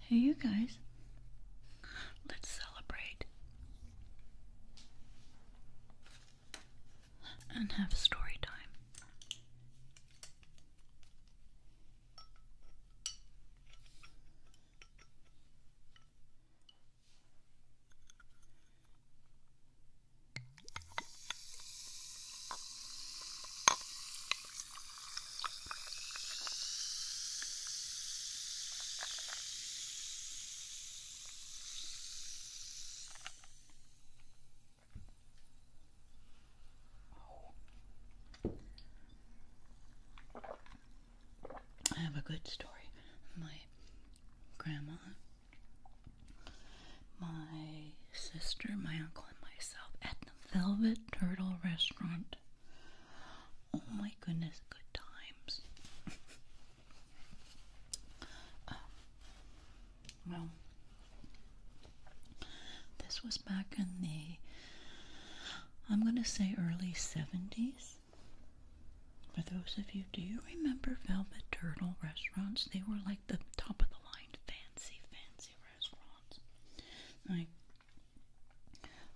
Hey, you guys, let's celebrate and have story time. I have a good story. My grandma my sister, my uncle, and myself at the Velvet Turtle restaurant. Oh my goodness, good times. Um, well, this was back in the, I'm going to say early 70s. For those of you, do you remember Velvet Turtle restaurants? They were like the top of the line fancy, fancy restaurants. Like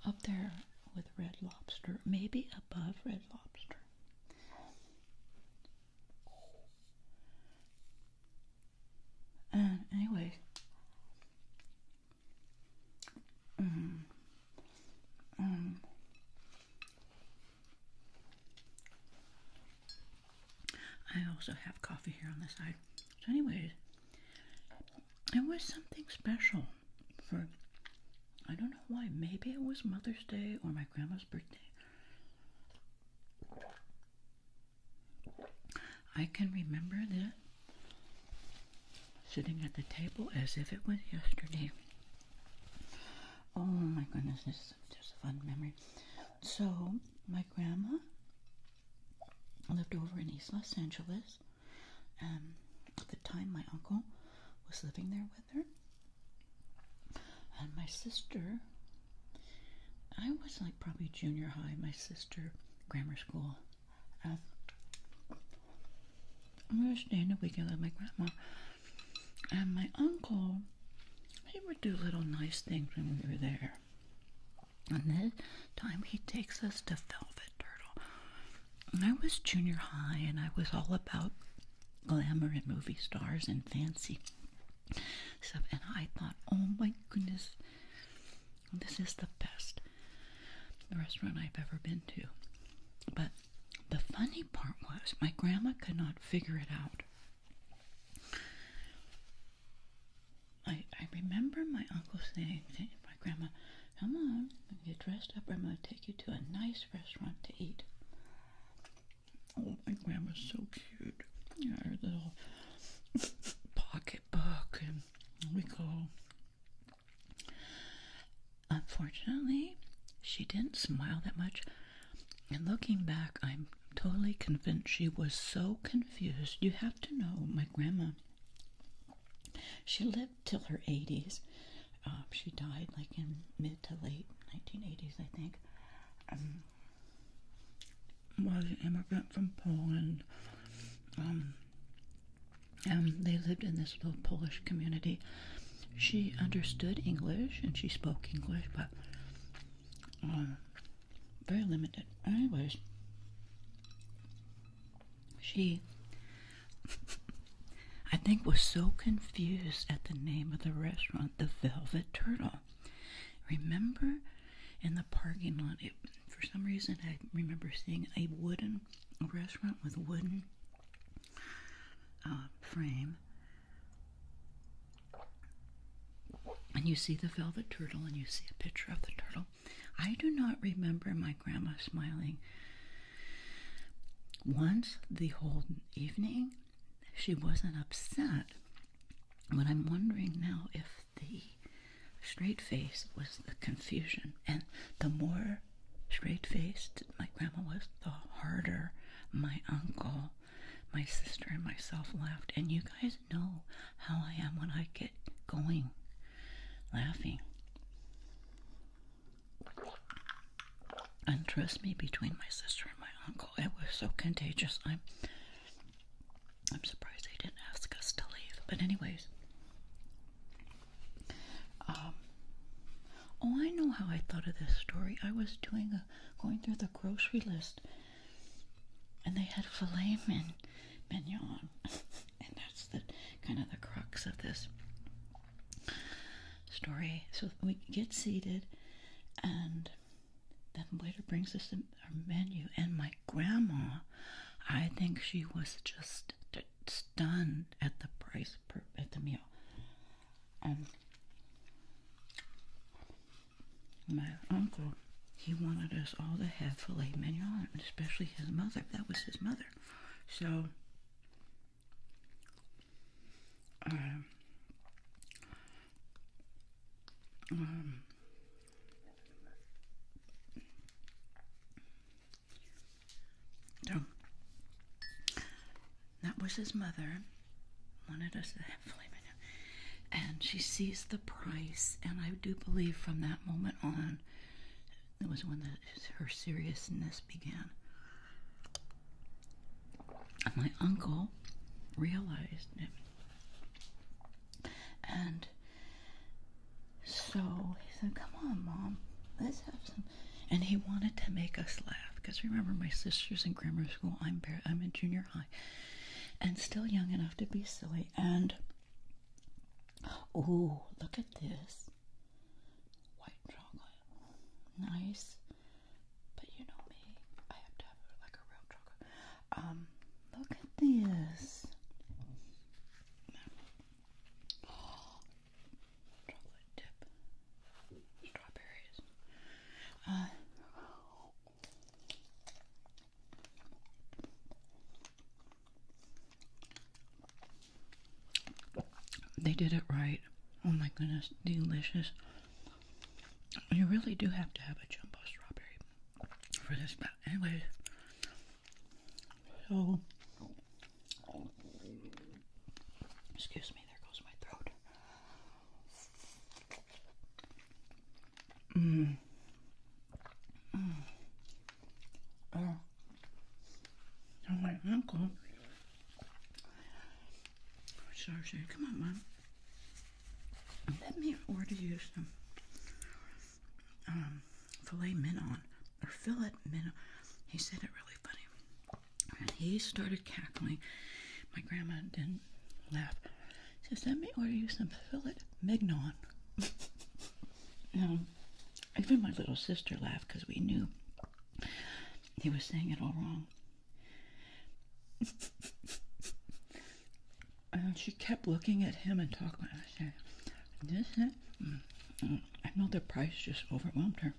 up there with Red Lobster, maybe above Red Lobster. And anyway, um, um, I also have coffee here on the side. So, anyways, it was something special for I don't know why. Maybe it was Mother's Day or my grandma's birthday. I can remember that sitting at the table as if it was yesterday. Oh my goodness, this is just a fun memory. So, my grandma lived over in East Los Angeles. and um, at the time, my uncle was living there with her. And my sister, I was like probably junior high, my sister, grammar school. Um, we were staying a weekend with my grandma. And my uncle, he would do little nice things when we were there. And this time he takes us to Velvet Turtle. And I was junior high and I was all about glamour and movie stars and fancy stuff. And I thought, oh my goodness, this is the best restaurant I've ever been to. But the funny part was my grandma could not figure it out. I I remember my uncle saying to my grandma, "Come on, get dressed up. I'm gonna take you to a nice restaurant to eat." Oh, my grandma's so cute. Yeah, her little pocketbook, and we go. Unfortunately, she didn't smile that much and looking back, I'm totally convinced she was so confused. You have to know, my grandma, she lived till her 80s. Uh, she died like in mid to late 1980s, I think. Um, was an immigrant from Poland. Um, um, they lived in this little Polish community. She understood English and she spoke English, but uh, very limited. Anyways, she, I think, was so confused at the name of the restaurant, the Velvet Turtle. Remember in the parking lot, for some reason, I remember seeing a wooden restaurant with wooden uh, frame and you see the velvet turtle and you see a picture of the turtle. I do not remember my grandma smiling. Once the whole evening, she wasn't upset. But I'm wondering now if the straight face was the confusion. And the more straight faced my grandma was, the harder my uncle my sister and myself laughed. And you guys know how I am when I get going laughing. And trust me, between my sister and my uncle, it was so contagious. I'm I'm surprised they didn't ask us to leave. But anyways. Um Oh, I know how I thought of this story. I was doing a going through the grocery list and they had filet mignon. and that's the kind of the crux of this story. So we get seated and then waiter brings us our menu and my grandma, I think she was just stunned at the price per at the meal. Um my uncle, he wanted us all to have filet mignon, especially his mother. That was his mother. So, um, um, so that was his mother. Wanted us to have filet And she sees the price, and I do believe from that moment on, it was when her seriousness began. my uncle realized it. And so he said, Come on, Mom, let's have some. And he wanted to make us laugh because remember my sister's in grammar school. I'm bare, I'm in junior high, and still young enough to be silly. And oh, look at this white chocolate, nice. But you know me, I have to have like a real chocolate. Um, look at this. Chocolate dip strawberries. Uh, they did it right. Oh my goodness, delicious. You really do have to have a jumbo strawberry for this, but anyway. So, excuse me, there goes my throat. Mm. mm. Mm. Oh. oh, my ankle. Sorry, sorry. Come on, Mom. Let me order you some um, filet mignon or fillet mignon. He said it really funny. And he started cackling. My grandma didn't laugh. She says, Let me order you some fillet mignon. now, even my little sister laughed because we knew he was saying it all wrong. and she kept looking at him and talking. I said, This, that. Mm, mm, I know the price just overwhelmed her.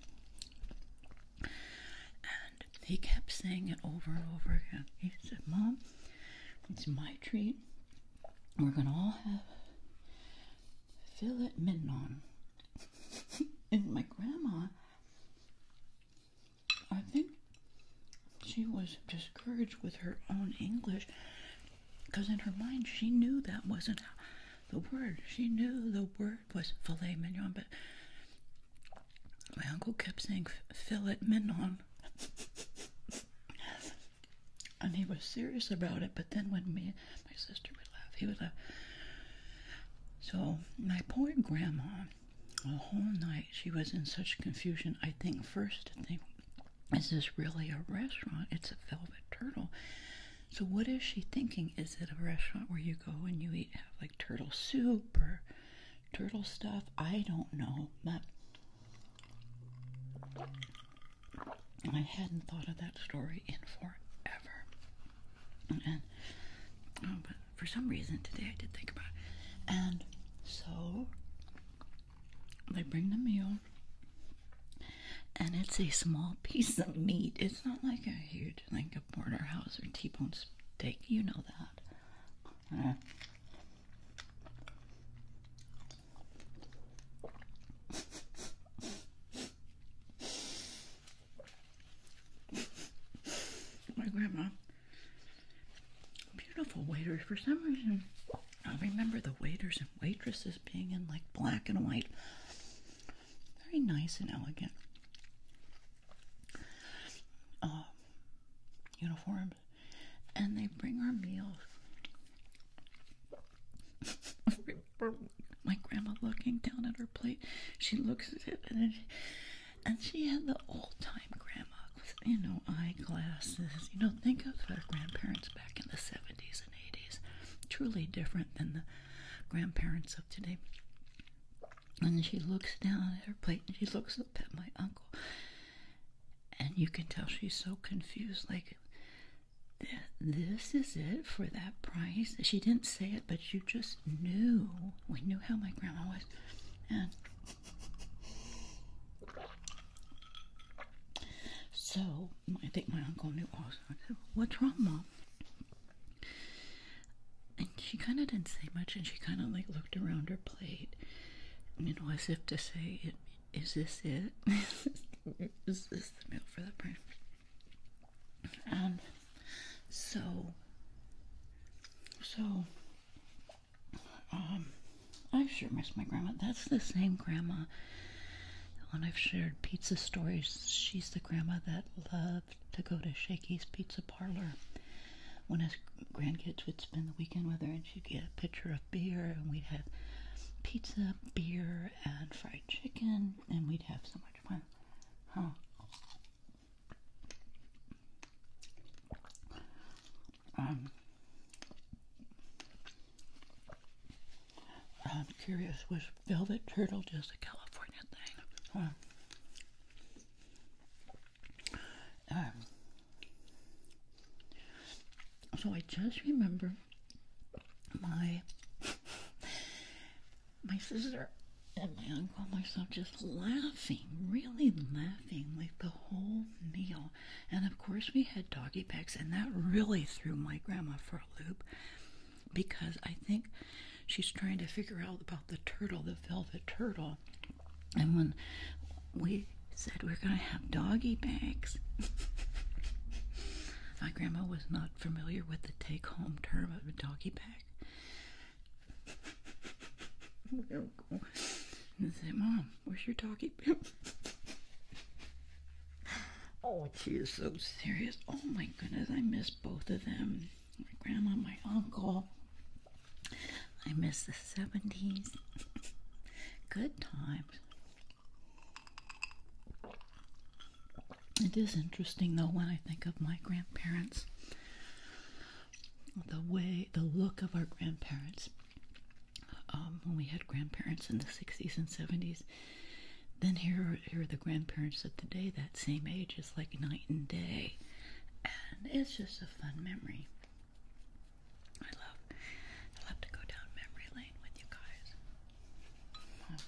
And he kept saying it over and over again. He said, Mom, it's my treat. We're going to all have fillet mignon. and my grandma, I think she was discouraged with her own English because in her mind she knew that wasn't the word. She knew the word was filet mignon, but my uncle kept saying, fill it, Minon. and he was serious about it, but then when me my sister would laugh, he would laugh. So, my poor grandma, the whole night, she was in such confusion. I think, first, to think, is this really a restaurant? It's a velvet turtle. So, what is she thinking? Is it a restaurant where you go and you eat, have turtle soup or turtle stuff. I don't know, but I hadn't thought of that story in forever. And oh, but for some reason today I did think about it. And so they bring the meal and it's a small piece of meat. It's not like a huge like a border house or T-bone steak. You know that. my grandma, beautiful waiters. For some reason, I remember the waiters and waitresses being in like black and white very nice and elegant uh, uniforms, and they bring our meals. My grandma looking down at her plate, she looks at it and, she, and she had the old time grandma with you know eyeglasses. You know, think of our grandparents back in the 70s and 80s, truly different than the grandparents of today. And she looks down at her plate and she looks up at my uncle. And you can tell she's so confused. Like, this is it for that price. She didn't say it, but you just knew. We knew how my grandma was. And so I think my uncle knew also. What's wrong, Mom? And she kind of didn't say much, and she kind of like looked around her plate, you know, as if to say, "Is this it? Is this the meal for the brain?" Um. So. So. Um. I sure miss my grandma. That's the same grandma. When I've shared pizza stories, she's the grandma that loved to go to Shaky's Pizza Parlor when his grandkids would spend the weekend with her, and she'd get a pitcher of beer, and we'd have pizza, beer, and fried chicken, and we'd have so much fun. Huh? Um, I'm curious, was Velvet Turtle just a California thing? Um, so I just remember my my sister and my uncle and myself just laughing, really laughing, like the whole meal. And of course, we had doggy bags, and that really threw my grandma for a loop because I think she's trying to figure out about the turtle, the velvet turtle. And when we said we're going to have doggy bags, my grandma was not familiar with the take home term of a doggy bag. And I Mom, where's your doggy bag? Oh, she is so serious. Oh my goodness, I miss both of them. My grandma, my uncle. I miss the 70s. Good times. It is interesting though when I think of my grandparents. The way, the look of our grandparents. Um, when we had grandparents in the 60s and 70s, then here, here are the grandparents of day that same age. It's like night and day. And it's just a fun memory. I love, I love to go down memory lane with you guys.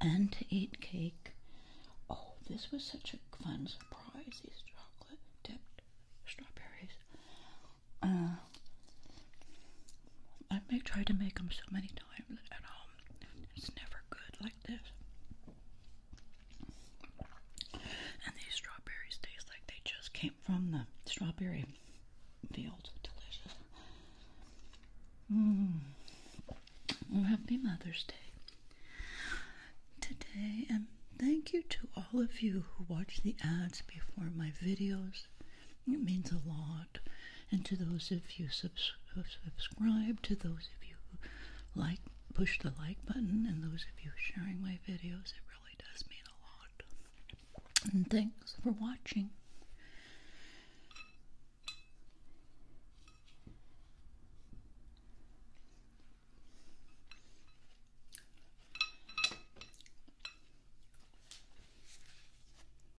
And to eat cake. Oh, this was such a fun surprise. These chocolate dipped strawberries. Uh, I may try to make them so many times at home. It's never good like this. And these strawberries taste like they just came from the strawberry field. Delicious. Mmm. happy Mother's Day today, and thank you to all of you who watch the ads before my videos. It means a lot and to those of you subscribe, to those of you like, push the like button, and those of you sharing my videos. It really does mean a lot. And thanks for watching.